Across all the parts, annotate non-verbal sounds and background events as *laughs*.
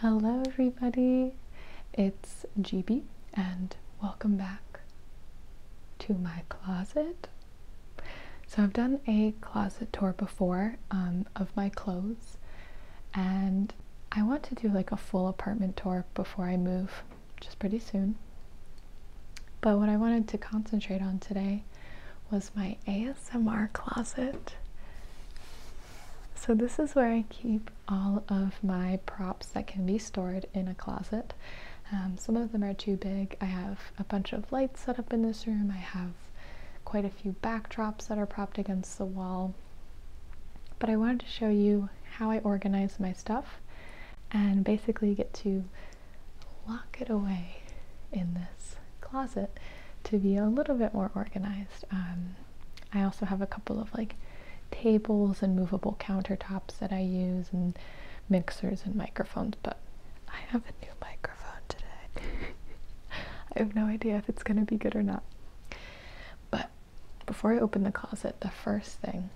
Hello, everybody. It's GB, and welcome back to my closet. So, I've done a closet tour before um, of my clothes, and I want to do like a full apartment tour before I move, which is pretty soon. But what I wanted to concentrate on today was my ASMR closet. So this is where I keep all of my props that can be stored in a closet. Um, some of them are too big. I have a bunch of lights set up in this room. I have quite a few backdrops that are propped against the wall. But I wanted to show you how I organize my stuff and basically get to lock it away in this closet to be a little bit more organized. Um, I also have a couple of like tables and movable countertops that I use and mixers and microphones, but I have a new microphone today. *laughs* I have no idea if it's going to be good or not. But before I open the closet, the first thing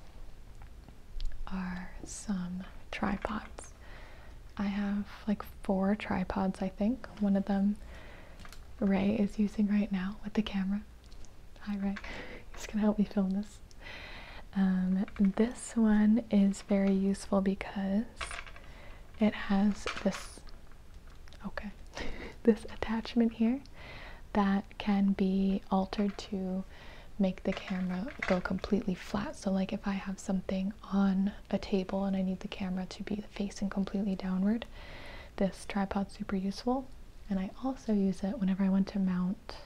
are some tripods. I have like four tripods, I think. One of them Ray is using right now with the camera. Hi, Ray. He's gonna help me film this. Um, this one is very useful because it has this, okay, *laughs* this attachment here that can be altered to make the camera go completely flat. So like if I have something on a table and I need the camera to be facing completely downward, this tripod's super useful. And I also use it whenever I want to mount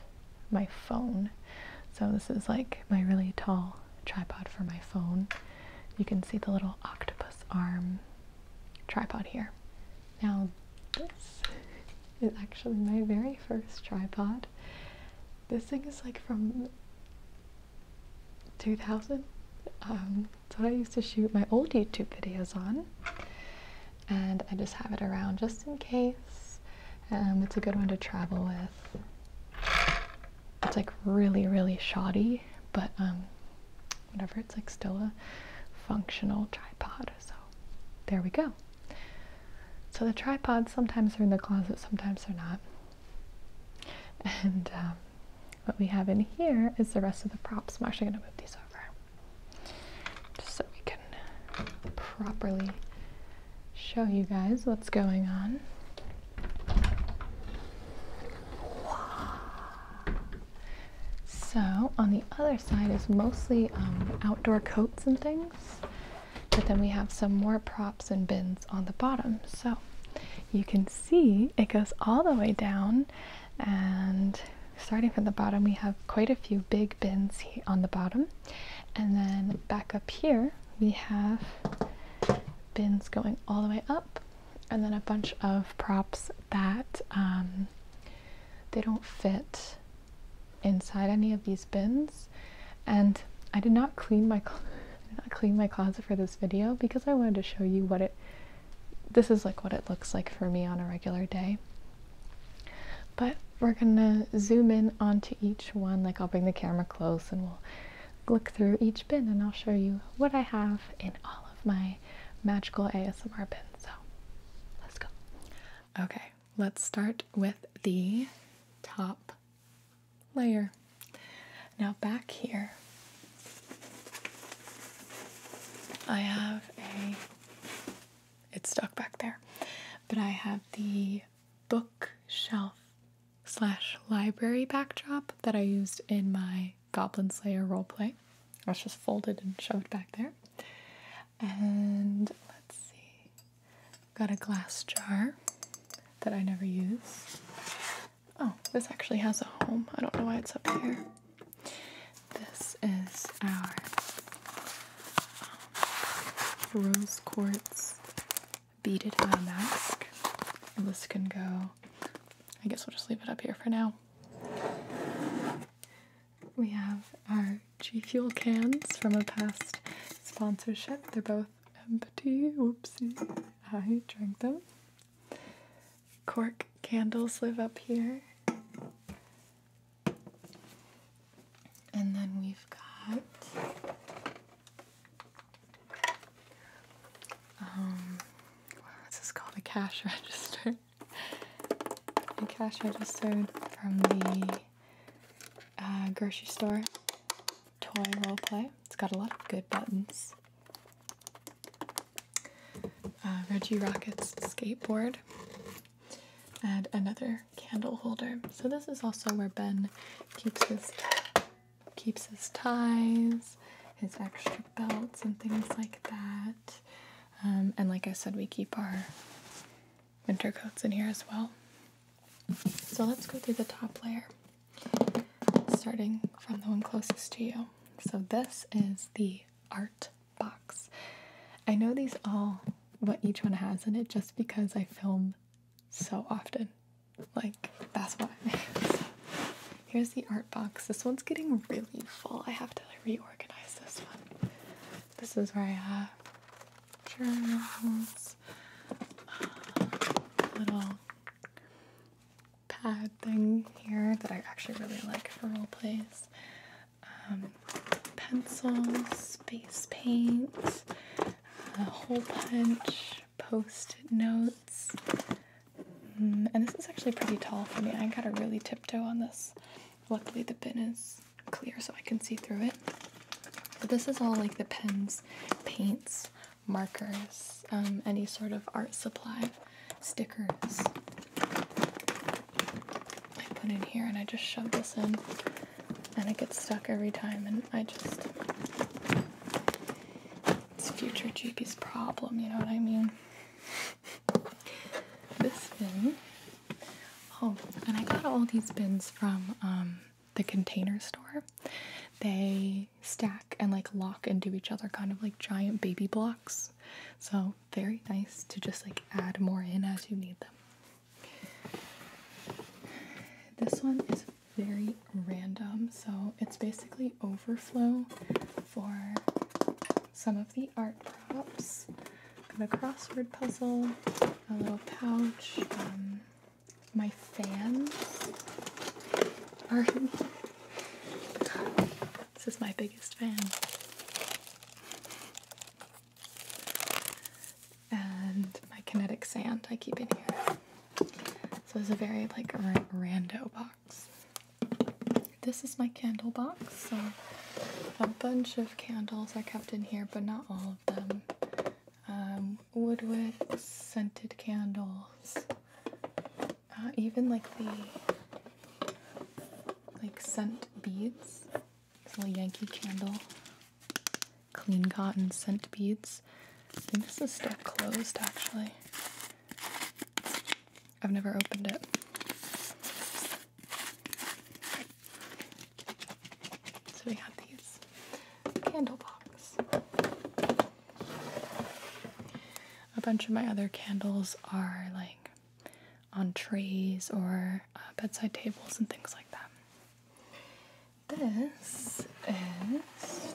my phone. So this is like my really tall tripod for my phone. You can see the little octopus arm tripod here. Now this is actually my very first tripod. This thing is like from 2000. Um, that's what I used to shoot my old YouTube videos on. And I just have it around just in case. Um, it's a good one to travel with. It's like really, really shoddy, but um, whatever, it's like still a functional tripod. So there we go. So the tripods sometimes are in the closet, sometimes they're not. And um, what we have in here is the rest of the props. I'm actually going to move these over just so we can properly show you guys what's going on. So on the other side is mostly um, outdoor coats and things but then we have some more props and bins on the bottom. So you can see it goes all the way down and starting from the bottom we have quite a few big bins on the bottom and then back up here we have bins going all the way up and then a bunch of props that um, they don't fit inside any of these bins and I did not clean my *laughs* clean my closet for this video because I wanted to show you what it this is like what it looks like for me on a regular day but we're gonna zoom in onto each one like I'll bring the camera close and we'll look through each bin and I'll show you what I have in all of my magical ASMR bins so let's go okay let's start with the top layer. Now back here, I have a, it's stuck back there, but I have the bookshelf slash library backdrop that I used in my Goblin Slayer role roleplay. That's just folded and shoved back there. And let's see. Got a glass jar that I never use. Oh, this actually has a home. I don't know why it's up here. This is our um, rose quartz beaded eye mask. And this can go, I guess we'll just leave it up here for now. We have our G Fuel cans from a past sponsorship. They're both empty. Oopsie. I drank them. Cork candles live up here. And then we've got um what's this called? A cash *laughs* register. A cash register from the uh, grocery store toy role play. It's got a lot of good buttons. Uh, Reggie Rocket's skateboard and another candle holder. So this is also where Ben keeps his keeps his ties, his extra belts and things like that. Um, and like I said, we keep our winter coats in here as well. So let's go through the top layer, starting from the one closest to you. So this is the art box. I know these all, what each one has in it, just because I film so often. Like, that's why. *laughs* here's the art box. This one's getting really full. I have to reorganize this one. This is where I have. Uh, journals, uh, little pad thing here that I actually really like for role plays, um, pencils, space paint, hole punch, post-it notes. Mm, and this is actually pretty tall for me. I gotta really tiptoe on this. Luckily the bin is clear so I can see through it. But this is all like the pens, paints, markers, um, any sort of art supply, stickers. I put in here and I just shove this in and it gets stuck every time and I just it's future GP's problem, you know what I mean? this bin. Oh, and I got all these bins from um, the container store. They stack and like lock into each other, kind of like giant baby blocks. So, very nice to just like add more in as you need them. This one is very random, so it's basically overflow for some of the art props. Got a crossword puzzle, a little pouch, um, my fans *laughs* this is my biggest fan. And my kinetic sand I keep in here. So it's a very like rando box. This is my candle box. So a bunch of candles are kept in here, but not all of them um, woodwicks, scented candles, uh, even like the like scent beads, Little Yankee candle, clean cotton scent beads. I think this is still closed actually. I've never opened it. So we got these candle box. A bunch of my other candles are like on trays or uh, bedside tables and things like that. This is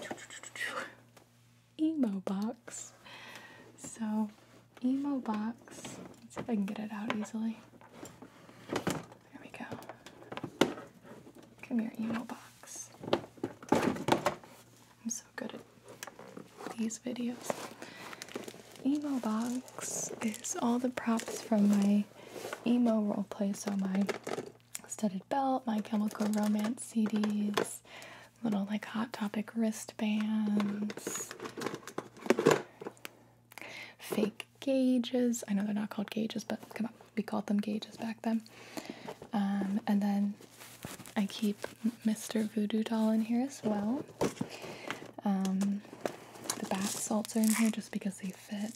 emo box. So emo box. Let's see if I can get it out easily. There we go. Come here, email box. I'm so good at these videos. Emo box is all the props from my emo play. so my studded belt, my chemical romance CDs, little like hot topic wristbands, fake gauges. I know they're not called gauges, but come on, we called them gauges back then. Um, and then I keep Mr. Voodoo Doll in here as well. Um, the bath salts are in here just because they fit.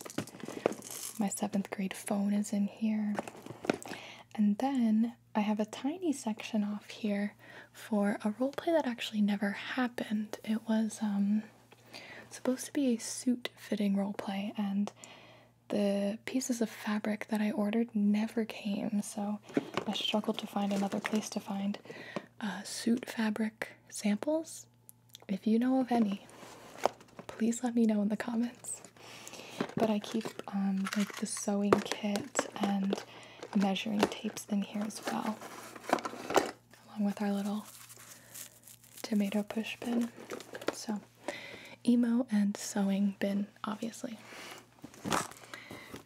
My seventh grade phone is in here. And then I have a tiny section off here for a role play that actually never happened. It was um, supposed to be a suit fitting role play, and the pieces of fabric that I ordered never came, so I struggled to find another place to find uh, suit fabric samples. If you know of any, please let me know in the comments. But I keep um, like the sewing kit and measuring tapes in here as well along with our little tomato push bin. So, emo and sewing bin, obviously.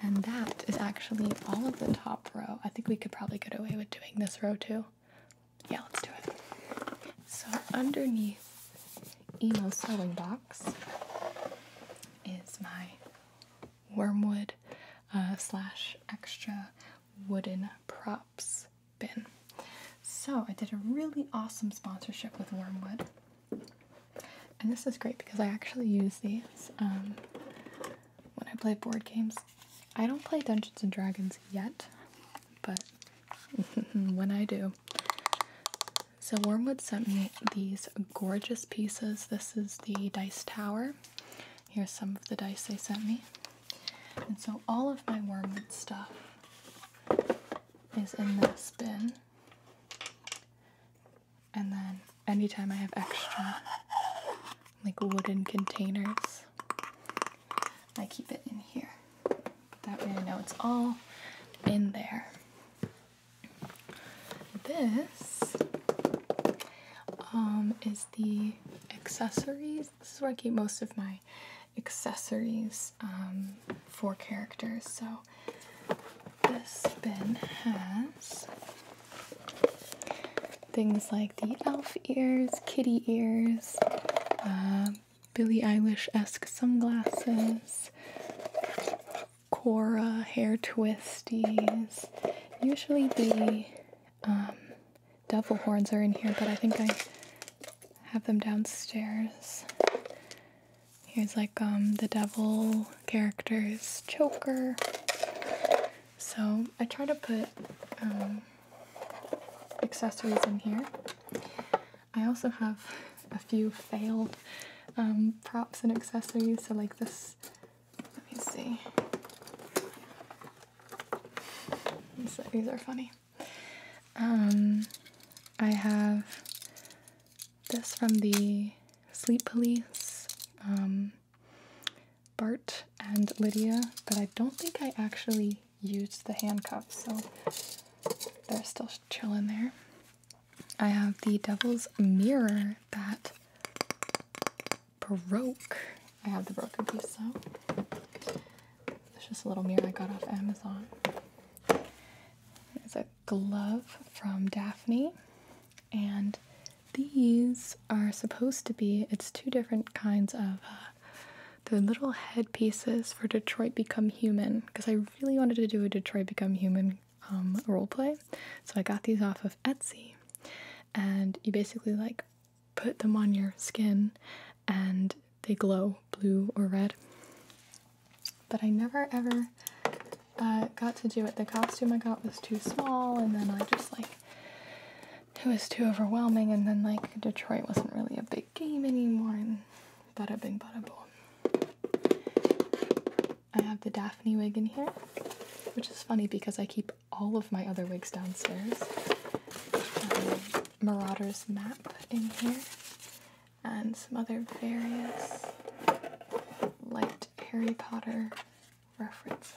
And that is actually all of the top row. I think we could probably get away with doing this row too. Yeah, let's do it. So, underneath emo sewing box is my wormwood uh, slash extra wooden props been. So I did a really awesome sponsorship with Wormwood. And this is great because I actually use these um, when I play board games. I don't play Dungeons and Dragons yet, but *laughs* when I do. So Wormwood sent me these gorgeous pieces. This is the dice tower. Here's some of the dice they sent me. And so all of my wormwood stuff is in this bin. And then anytime I have extra, like wooden containers, I keep it in here. But that way I know it's all in there. This um, is the accessories. This is where I keep most of my accessories um, for characters. So this bin has things like the elf ears, kitty ears, um, Billie Eilish esque sunglasses, Cora hair twisties. Usually the um, devil horns are in here, but I think I have them downstairs. Here's like um, the devil character's choker. So I try to put um, accessories in here. I also have a few failed um, props and accessories. So like this, let me see. these are funny. Um, I have this from the Sleep Police, um, Bart and Lydia, but I don't think I actually used the handcuffs, so they're still chilling there. I have the Devil's Mirror that broke. I have the broken piece, so. It's just a little mirror I got off Amazon. It's a glove from Daphne, and these are supposed to be, it's two different kinds of, uh, the little headpieces for Detroit Become Human, because I really wanted to do a Detroit Become Human um, roleplay. So I got these off of Etsy, and you basically like put them on your skin and they glow blue or red. But I never ever uh, got to do it. The costume I got was too small, and then I just like it was too overwhelming. And then like Detroit wasn't really a big game anymore, and bing, bada boom. I have the Daphne wig in here, which is funny because I keep all of my other wigs downstairs. Um, Marauder's map in here, and some other various light Harry Potter reference.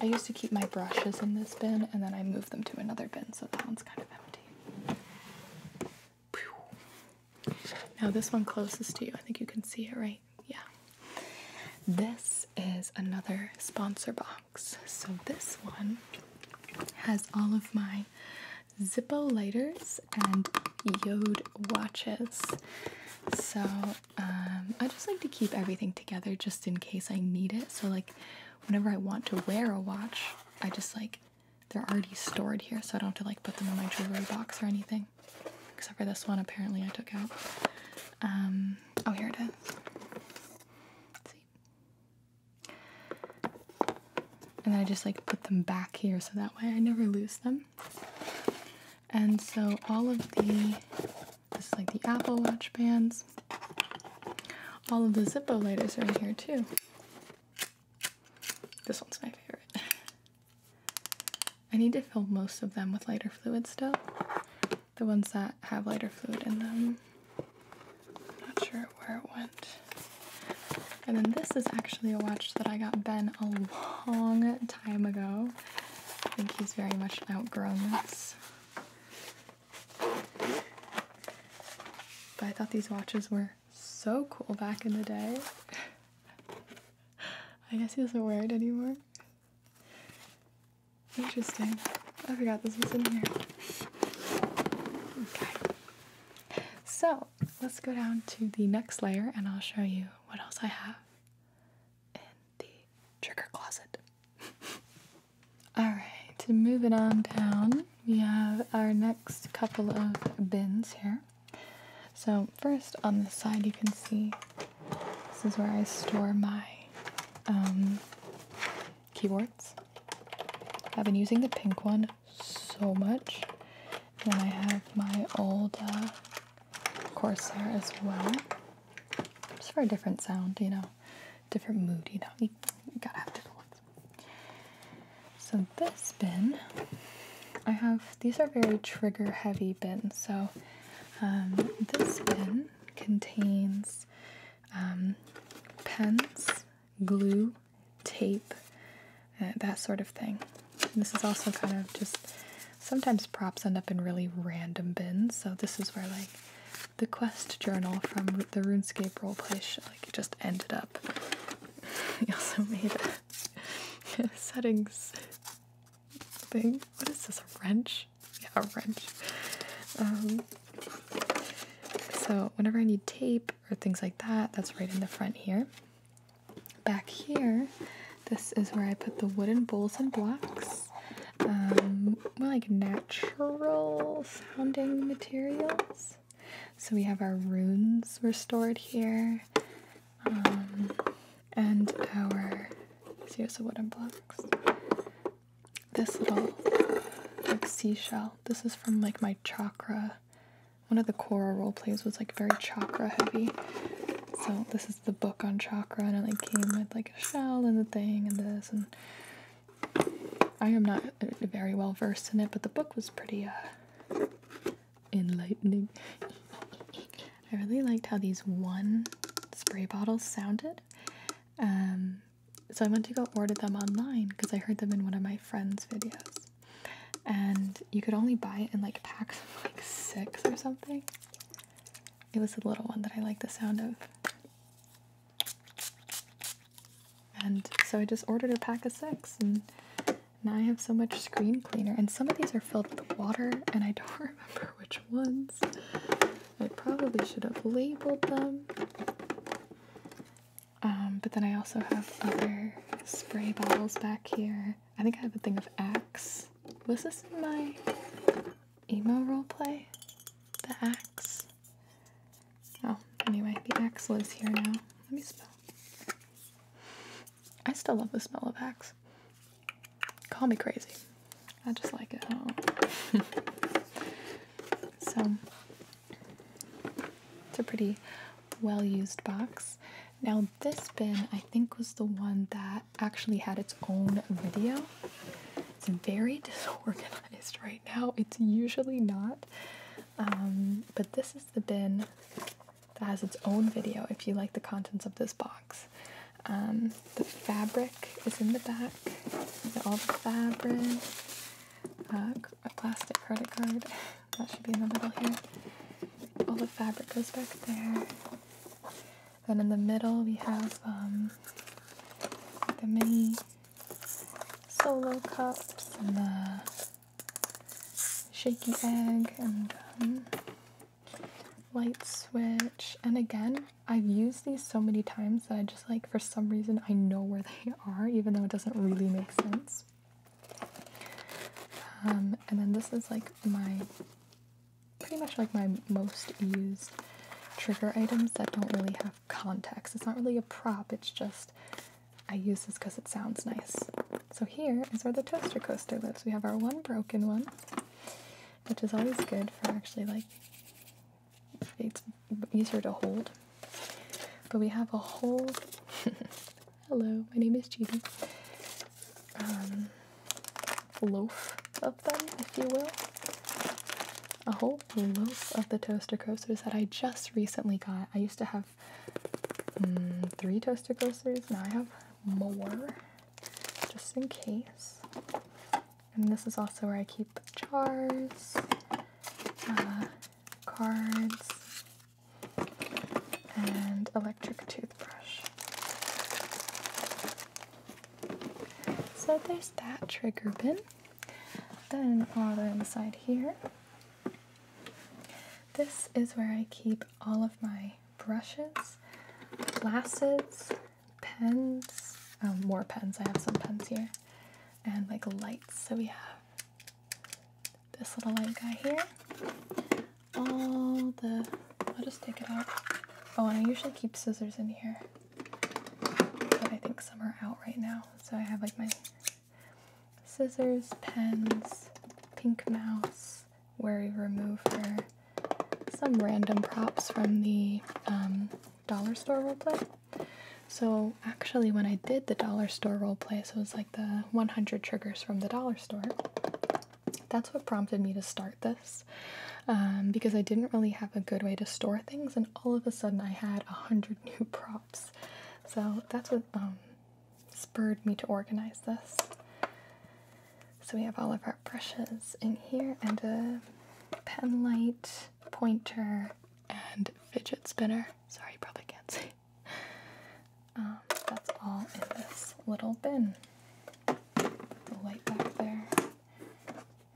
I used to keep my brushes in this bin, and then I moved them to another bin, so that one's kind of empty. Now, this one closest to you, I think you can see it, right? Yeah. This is another sponsor box. So this one has all of my Zippo lighters and Yode watches. So um, I just like to keep everything together just in case I need it. So like whenever I want to wear a watch, I just like they're already stored here, so I don't have to like put them in my jewelry box or anything. Except for this one, apparently I took out. Um, oh, here it is. See? And I just like put them back here so that way I never lose them. And so all of the, this is like the Apple Watch bands, all of the Zippo lighters are in here too. This one's my favorite. *laughs* I need to fill most of them with lighter fluid still, the ones that have lighter fluid in them. I'm not sure where it went. And then this is actually a watch that I got Ben a long time ago. I think he's very much outgrown this. But I thought these watches were so cool back in the day. *laughs* I guess he doesn't wear it anymore. Interesting. I forgot this was in here. Okay. So let's go down to the next layer and I'll show you what else I have in the trigger closet. *laughs* Alright, moving on down, we have our next couple of bins here. So, first on the side, you can see this is where I store my um, keyboards. I've been using the pink one so much. And I have my old uh, Corsair as well. Just for a different sound, you know, different mood, you know. You gotta have different ones. So this bin, I have, these are very trigger heavy bins. So um, this bin contains um, pens, glue, tape, uh, that sort of thing. this is also kind of just sometimes props end up in really random bins. So this is where like the quest journal from the RuneScape roleplay show, like it just ended up. we *laughs* also made *laughs* settings thing. What is this? wrench? Yeah, a wrench. Um, so whenever I need tape or things like that, that's right in the front here. Back here, this is where I put the wooden bowls and blocks. Um, more like natural sounding materials. So we have our runes stored here. Um, and our Here's the wooden blocks this little like seashell. This is from like my chakra. One of the Korra role plays was like very chakra heavy. So this is the book on chakra and it like came with like a shell and the thing and this and I am not uh, very well versed in it, but the book was pretty uh enlightening. I really liked how these one spray bottles sounded. Um, so I went to go order them online because I heard them in one of my friends' videos. And you could only buy it in like packs of like six or something. It was the little one that I like the sound of. And so I just ordered a pack of six and now I have so much screen cleaner and some of these are filled with water and I don't *laughs* remember which ones. I probably should have labeled them. Um, but then I also have other spray bottles back here. I think I have a thing of Axe. Was this in my emo roleplay? The Axe? Oh, anyway, the Axe was here now. Let me smell. I still love the smell of Axe. Call me crazy. I just like it. *laughs* so it's a pretty well used box. Now, this bin I think was the one that actually had its own video. It's very *laughs* disorganized right now, it's usually not. Um, but this is the bin that has its own video if you like the contents of this box. Um, the fabric is in the back. All the fabric. Uh, a plastic credit card. *laughs* That should be in the middle here. All the fabric goes back there. Then in the middle we have um, the mini solo cups and the shaky egg and um, light switch. And again, I've used these so many times that I just like, for some reason, I know where they *laughs* are, even though it doesn't really make sense. Um, and then this is like my, pretty much like my most used trigger items that don't really have context. It's not really a prop, it's just I use this because it sounds nice. So here is where the toaster coaster lives. We have our one broken one which is always good for actually like it's easier to hold. But we have a whole *laughs* hello, my name is Chibi. Um, loaf of them, if you will. A whole loaf of the toaster coasters that I just recently got. I used to have mm, three toaster coasters, now I have more, just in case. And this is also where I keep jars, uh, cards, and electric toothbrush. So there's that trigger bin. Then on the inside here, this is where I keep all of my brushes, glasses, pens, oh, more pens. I have some pens here, and like lights. So we have this little light guy here. All the, I'll just take it out. Oh, I usually keep scissors in here, but I think some are out right now. So I have like my scissors, pens, pink mouse, wary remover, some random props from the um, dollar store roleplay. So, actually, when I did the dollar store roleplay, so it was like the 100 triggers from the dollar store, that's what prompted me to start this um, because I didn't really have a good way to store things, and all of a sudden I had 100 *laughs* new props. So, that's what um, spurred me to organize this. So we have all of our brushes in here and a pen light, pointer, and fidget spinner. Sorry, you probably can't see. Um, that's all in this little bin. The light back there,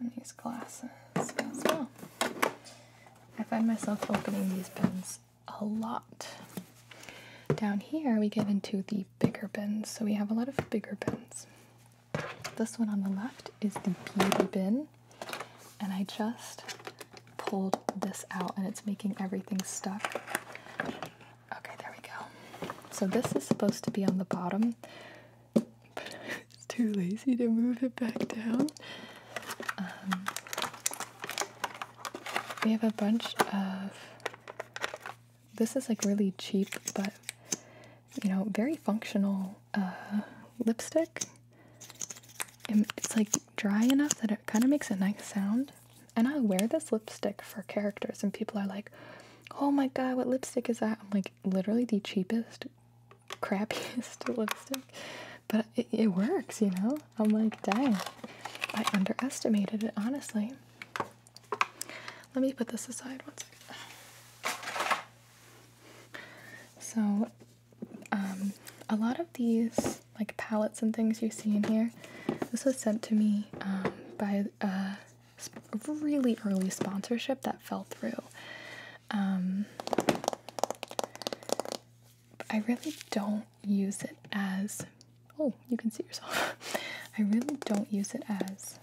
and these glasses as well. I find myself opening these bins a lot. Down here, we get into the bigger bins, so we have a lot of bigger bins. This one on the left is the beauty bin, and I just pulled this out and it's making everything stuck. Okay, there we go. So this is supposed to be on the bottom, but *laughs* I'm too lazy to move it back down. Um, we have a bunch of this is like really cheap, but you know, very functional uh, lipstick. And it's like dry enough that it kind of makes a nice sound. And I wear this lipstick for characters, and people are like, "Oh my god, what lipstick is that?" I'm like, literally the cheapest, crappiest *laughs* lipstick, but it works, you know. I'm like, dang, I underestimated it honestly. Let me put this aside one second. So, um, a lot of these like palettes and things you see in here, this was sent to me um, by a uh, really early sponsorship that fell through. Um, I really don't use it as. Oh, you can see yourself. *laughs* I really don't use it as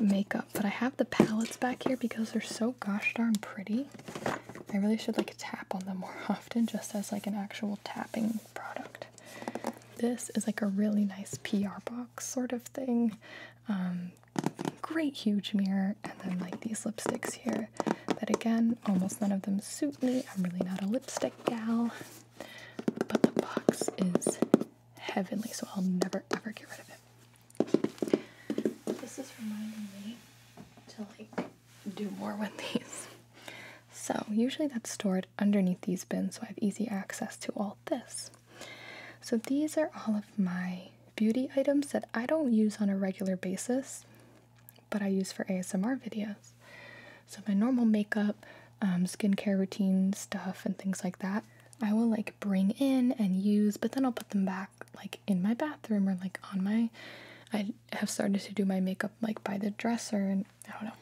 makeup, but I have the palettes back here because they're so gosh darn pretty. I really should like tap on them more *laughs* often just as like an actual tapping product. This is like a really nice PR box sort of thing. Um, great huge mirror and then like these lipsticks here that again almost none of them suit me. I'm really not a lipstick gal. But the box is heavenly, so I'll never ever get rid of it. This is reminding me to like do more with these. So usually that's stored underneath these bins so I have easy access to all this. So these are all of my beauty items that I don't use on a regular basis, but I use for ASMR videos. So my normal makeup, um, skincare routine stuff, and things like that, I will like bring in and use, but then I'll put them back like in my bathroom or like on my. I have started to do my makeup like by the dresser, and I don't know.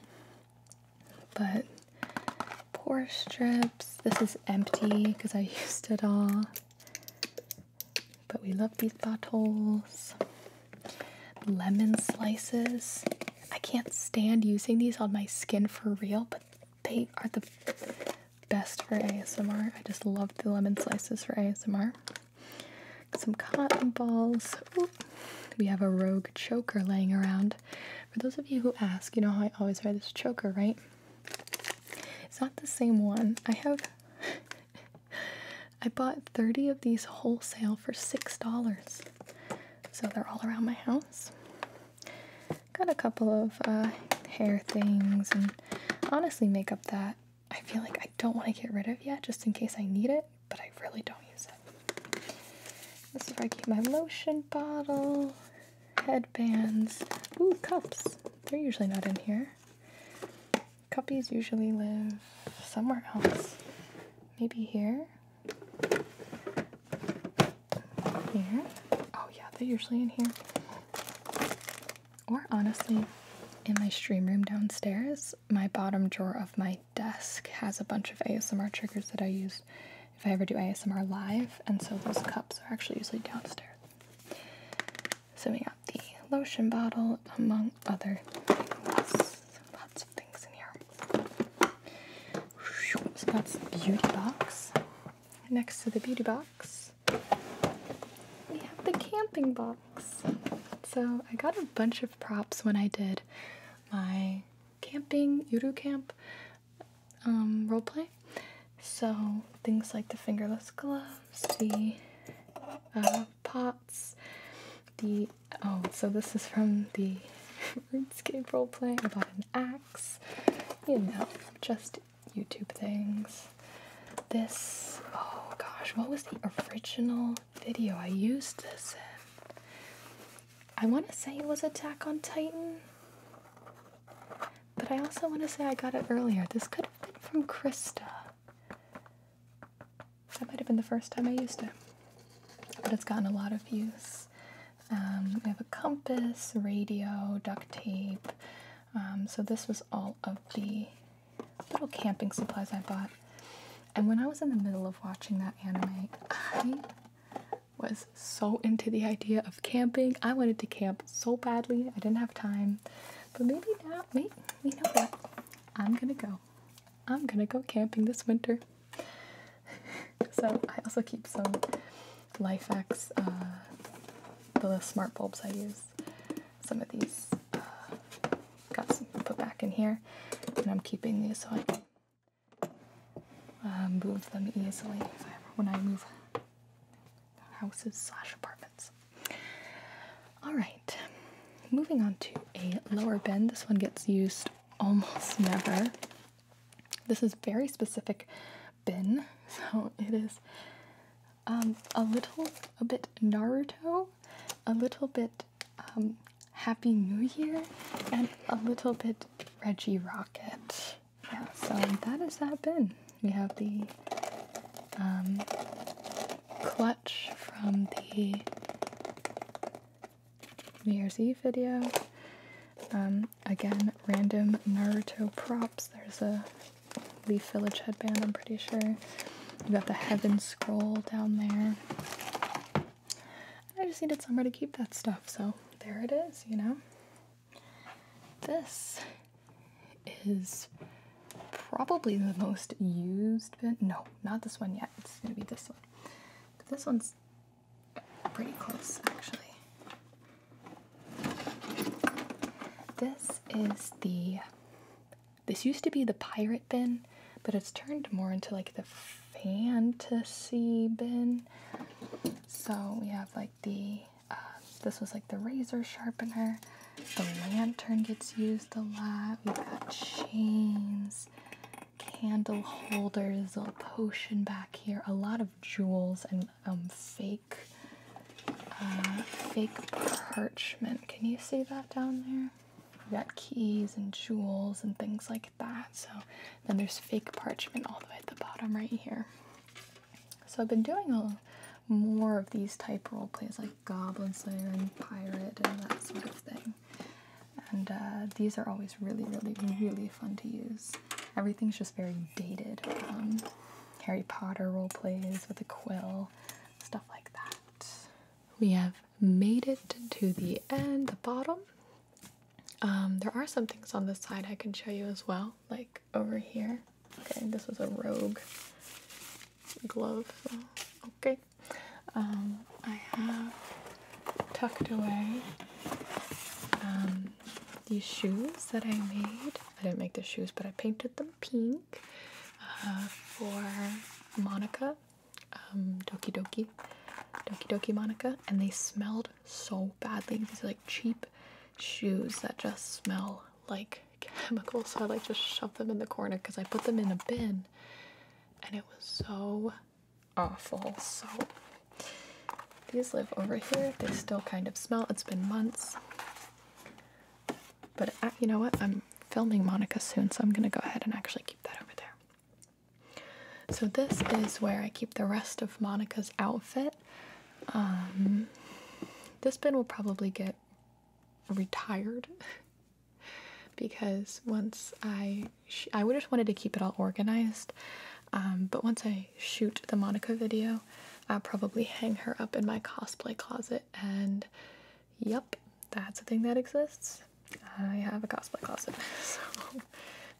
But pore strips. This is empty because I used it all. But we love these bottles. Lemon slices. I can't stand using these on my skin for real, but they are the best for ASMR. I just love the lemon slices for ASMR. Some cotton balls. We have a rogue choker laying around. For those of you who ask, you know how I always wear this choker, right? It's not the same one. I have. *laughs* I bought 30 of these wholesale for $6 so they're all around my house. Got a couple of uh, hair things and honestly makeup that I feel like I don't want to get rid of yet just in case I need it, but I really don't use it. This is where I keep my lotion bottle, headbands, ooh, cups. They're usually not in here. Cuppies usually live somewhere else. Maybe here. Here. Oh, yeah, they're usually in here. Or honestly, in my stream room downstairs, my bottom drawer of my desk has a bunch of ASMR triggers that I use if I ever do ASMR live, and so those cups are actually usually downstairs. So we got the lotion bottle, among other things things in here. So that's the beauty box. Next to the beauty box, we have the camping box. So I got a bunch of props when I did my camping Yuru camp um, roleplay. So things like the fingerless gloves, the uh, pots, the oh, so this is from the *laughs* RuneScape roleplay. I bought an axe. You know, just YouTube things. This, oh gosh, what was the original video I used this in? I want to say it was Attack on Titan, but I also want to say I got it earlier. This could have been from Krista. That might have been the first time I used it but it's gotten a lot of use. Um, we have a compass, radio, duct tape. Um, so this was all of the little camping supplies I bought. And when I was in the middle of watching that anime, I was so into the idea of camping. I wanted to camp so badly. I didn't have time. But maybe now, wait, you know what? I'm gonna go. I'm gonna go camping this winter. so I also keep some Lifex, uh, the smart bulbs I use. Some of these uh, got some put back in here, and I'm keeping these so I can uh, move them easily when I move houses slash apartments. All right, moving on to a lower bend. This one gets used almost never. This is very specific bin, *laughs* so it is um, a little a bit Naruto, a little bit um, Happy New Year, and a little bit Reggie Rocket. Yeah, so that is that bin. We have the um, clutch from the New Year's Eve video. Um, again, random Naruto props. There's a Leaf Village headband, I'm pretty sure. You have got the Heaven Scroll down there. I just needed somewhere to keep that stuff, so there it is, you know? This is probably the most used, no, not this one yet. It's gonna be this one. this one's Pretty close, actually. This is the. This used to be the pirate bin, but it's turned more into like the fantasy bin. So we have like the. Uh, this was like the razor sharpener. The lantern gets used a lot. we got chains candle holders, a potion back here, a lot of jewels and um, fake, uh, fake parchment. Can you see that down there? We got keys and jewels and things like that. So then there's fake parchment all the way at the bottom right here. So I've been doing a more of these type role plays like Goblin Slayer and Pirate and that sort of thing and uh, these are always really, really, really fun to use. Everything's just very dated. Um, Harry Potter role plays with a quill, stuff like that. We have made it to the end, the bottom. Um, there are some things on this side I can show you as well, like over here. Okay, this was a rogue glove. Okay, um, I have tucked away um, these shoes that I made. I didn't make the shoes, but I painted them pink uh, for Monica, um, Doki Doki, Doki Doki Monica, and they smelled so badly. These are like cheap shoes that just smell like *laughs* chemicals, so I like just shove them in the corner because I put them in a bin and it was so awful. So these live over here. They still kind of smell. It's been months. But uh, you know what? I'm filming Monica soon, so I'm going to go ahead and actually keep that over there. So this is where I keep the rest of Monica's outfit. Um, this bin will probably get retired *laughs* because once I I would just wanted to keep it all organized. Um, but once I shoot the Monica video, I'll probably hang her up in my cosplay closet. And yep, that's a thing that exists. I have a cosplay closet, *laughs* so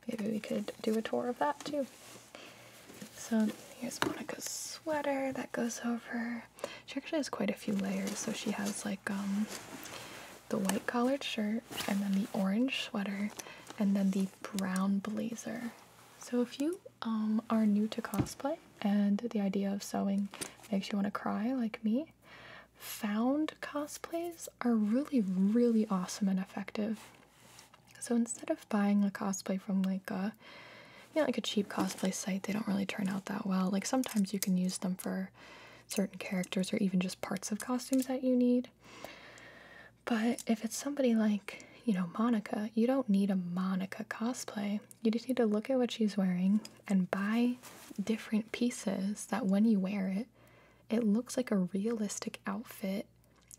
maybe we could do a tour of that too. So here's Monica's sweater that goes over. She actually has quite a few layers, so she has like um, the white collared shirt, and then the orange sweater, and then the brown blazer. So if you um, are new to cosplay and the idea of sewing makes you want to cry like me, found cosplays are really, really awesome and effective. So instead of buying a cosplay from like a you know, like a cheap cosplay site, they don't really turn out that well. Like sometimes you can use them for certain characters or even just parts of costumes that you need. But if it's somebody like, you know, Monica, you don't need a Monica cosplay. You just need to look at what she's wearing and buy different pieces that when you wear it, it looks like a realistic outfit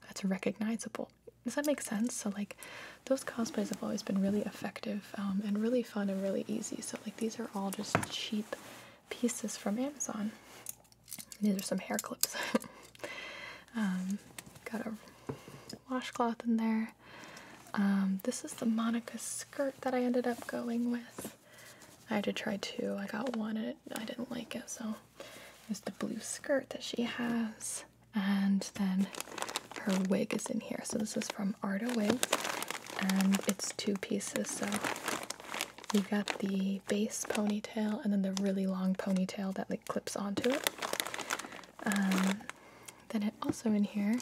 that's recognizable. Does that make sense? So, like, those cosplays have always been really effective um, and really fun and really easy. So, like, these are all just cheap pieces from Amazon. These are some hair clips. *laughs* Um, got a washcloth in there. Um, this is the Monica skirt that I ended up going with. I had to try two. I got one and I didn't like it, so it the blue skirt that she has. And then her wig is in here. So this is from Arda Wigs and it's two pieces, so You've got the base ponytail and then the really long ponytail that like clips onto it. Um, then it also in here,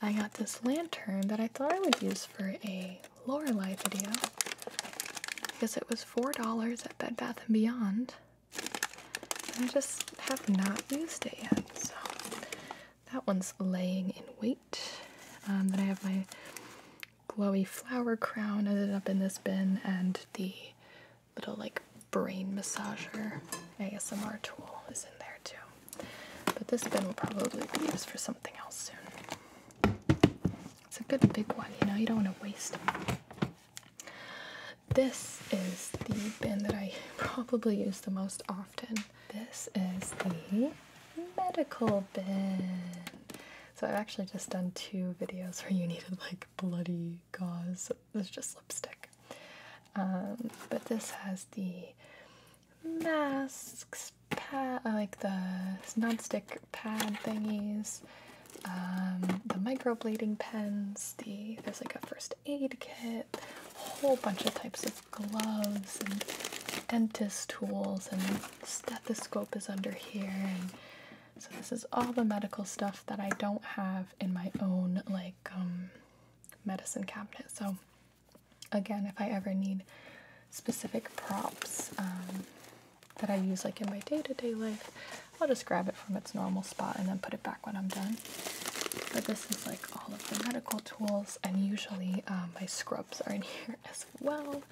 I got this lantern that I thought I would use for a Lorelei video because it was four dollars at Bed Bath and Beyond. And I just have not used it yet, so that one's laying in wait. Um, then I have my glowy flower crown ended up in this bin and the little like brain massager ASMR tool is in there too. But this bin will probably be used for something else soon. It's a good big one, you know, you don't want to waste it. This is the bin that I *laughs* probably use the most often this is the medical bin. So I've actually just done two videos where you needed like bloody gauze. It's just lipstick. Um, but this has the masks, pad, uh, like the non-stick pad thingies, um, the microblading pens, the there's like a first aid kit, a whole bunch of types of gloves and dentist tools and stethoscope is under here and so this is all the medical stuff that I don't have in my own like um, medicine cabinet. So again, if I ever need specific props um, that I use like in my day to -day life, I'll just grab it from its normal spot and then put it back when I'm done. But this is like all of the medical tools, and usually um, my scrubs are in *laughs* here as well.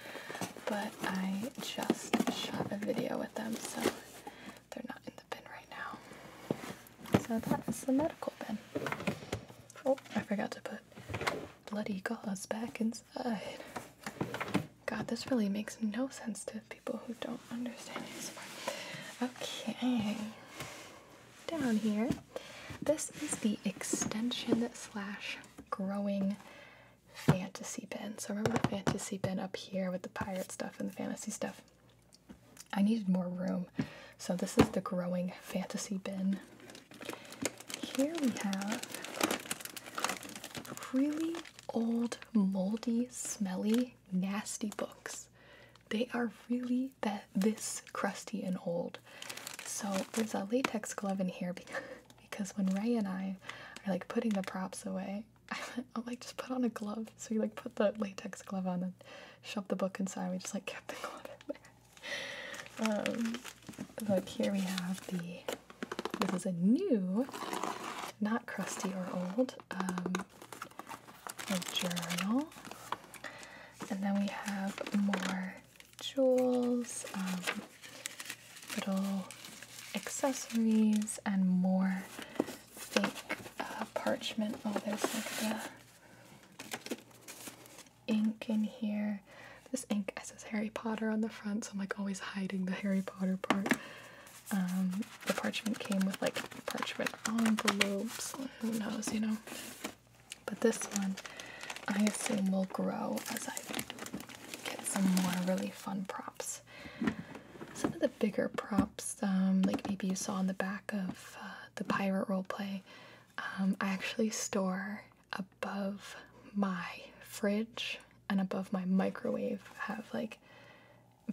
But I just shot a video with them, so they're not in the bin right now. So that is the medical bin. Oh, I forgot to put bloody gauze back inside. God, this really makes no sense to people who don't understand ASMR. Okay, down here this is the extension slash growing fantasy bin. So remember the fantasy bin up here with the pirate stuff and the fantasy stuff? I needed more room. So this is the growing fantasy bin. Here we have really old, moldy, smelly, nasty books. They are really this crusty and old. So there's a latex glove in here *laughs* because when Ray and I are like putting the props away, *laughs* I'm like just put on a glove. So we like put the latex glove on and shoved the book inside. We just like kept the *laughs* glove in there. Um, but here we have the. This is a new, not crusty or old, um, journal. And then we have more jewels, um, little accessories, and more fake uh, parchment. Oh, there's like the ink in here. This ink it says Harry Potter on the front, so I'm like always hiding the Harry Potter part. Um, the parchment came with like parchment envelopes. Who knows, you know? But this one, I assume, will grow as I get some more really fun props. Some of the bigger props, um, like maybe you saw in the back of uh, the pirate role play, um, I actually store above my fridge and above my microwave have like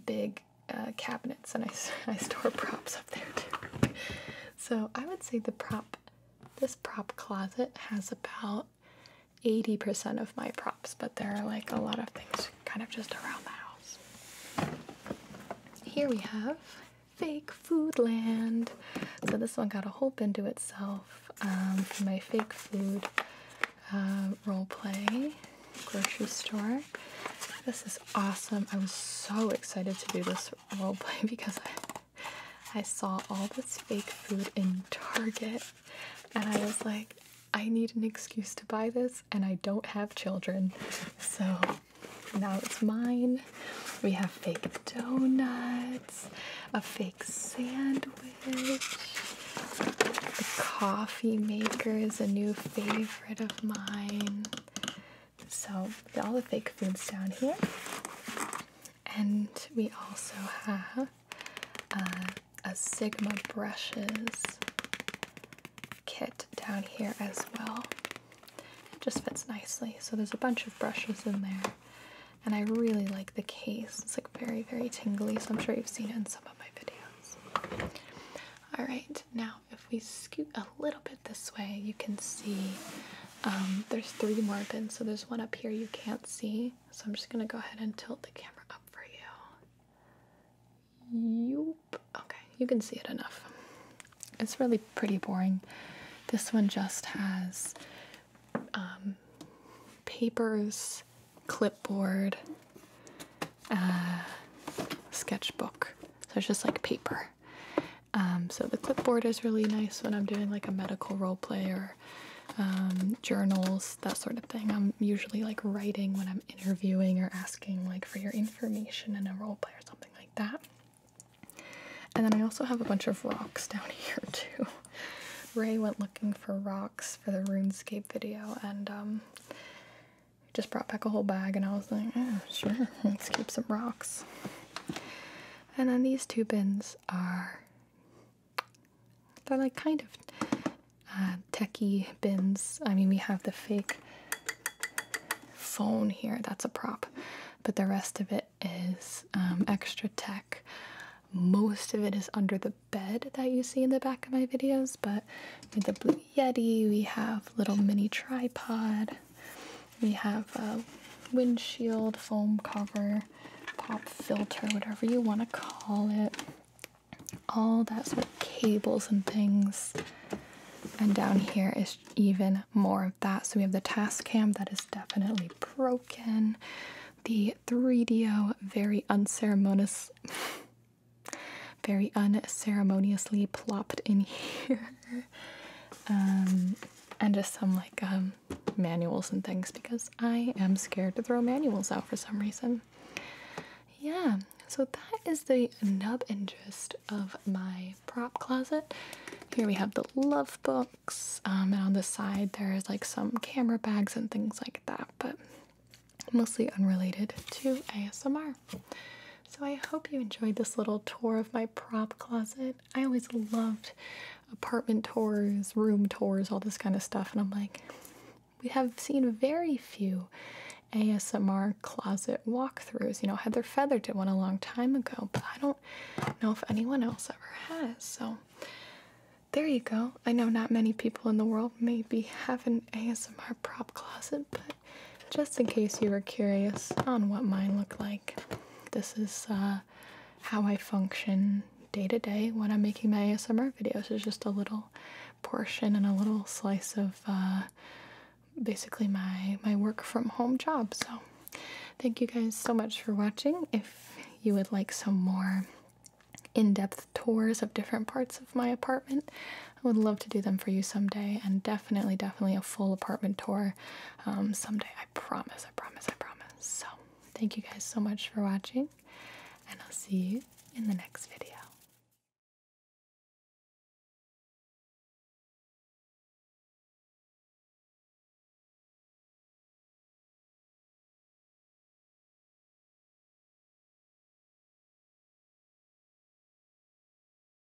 big uh, cabinets and I, *laughs* I store props up there too. So I would say the prop this prop closet has about 80% of my props, but there are like a lot of things kind of just around the house. Here we have Fake food land. So this one got a whole bin to itself um, for my fake food uh, role play grocery store. This is awesome. I was so excited to do this this roleplay *laughs* because I, I saw all this fake food in Target and I was like, I need an excuse to buy this, and I don't have children. So now it's mine. We have fake donuts, a fake sandwich. The coffee maker is a new favorite of mine. So, all the fake foods down here. And we also have uh, a Sigma brushes kit down here as well. It just fits nicely. So, there's a bunch of brushes in there. And I really like the case. It's like very, very tingly. So, I'm sure you've seen it in some of my videos. Alright, now if we scoot a little bit this way, you can see um, there's three more bins. So there's one up here you can't see. So I'm just gonna go ahead and tilt the camera up for you. Yoop. Okay, you can see it enough. It's really pretty boring. This one just has um, papers, clipboard, uh, sketchbook. So it's just like paper. Um, so the clipboard is really nice when I'm doing like a medical role play or um, journals, that sort of thing. I'm usually like writing when I'm interviewing or asking like for your information in a role play or something like that. And then I also have a bunch of rocks *laughs* down here too. Ray went looking for rocks for the RuneScape video and um, just brought back a whole bag and I was like, oh, sure, let's keep some rocks. And then these two bins are they're like kind of uh, techie bins. I mean, we have the fake phone here. That's a prop, but the rest of it is um, extra tech. Most of it is under the bed that you see in the back of my videos, but with the Blue Yeti, we have little mini tripod. We have a windshield, foam cover, pop filter, whatever you want to call it. All that sort of cables and things. And down here is even more of that. So we have the task cam that is definitely broken. The 3DO very unceremonious *laughs* very unceremoniously plopped in *laughs* here. Um, and just some like um, manuals and things because I am scared to throw manuals out for some reason. Yeah, so that is the nub interest of my prop closet. Here we have the love books, um, and on the side there's like some camera bags and things like that, but mostly unrelated to ASMR. So I hope you enjoyed this little tour of my prop closet. I always loved apartment tours, room tours, all this kind of stuff, and I'm like, we have seen very few ASMR closet walkthroughs. You know, Heather Feather did one a long time ago, but I don't know if anyone else ever has. So there you go. I know not many people in the world maybe have an ASMR prop closet, but just in case you were curious on what mine looked like. This is uh, how I function day to day when I'm making my ASMR videos. is just a little portion and a little slice of uh, basically my, my work from home job. So thank you guys so much for watching. If you would like some more in-depth tours of different parts of my apartment, I would love to do them for you someday and definitely, definitely a full apartment tour um, someday. I promise, I promise, I promise. So, thank you guys so much for watching, and I'll see you in the next video.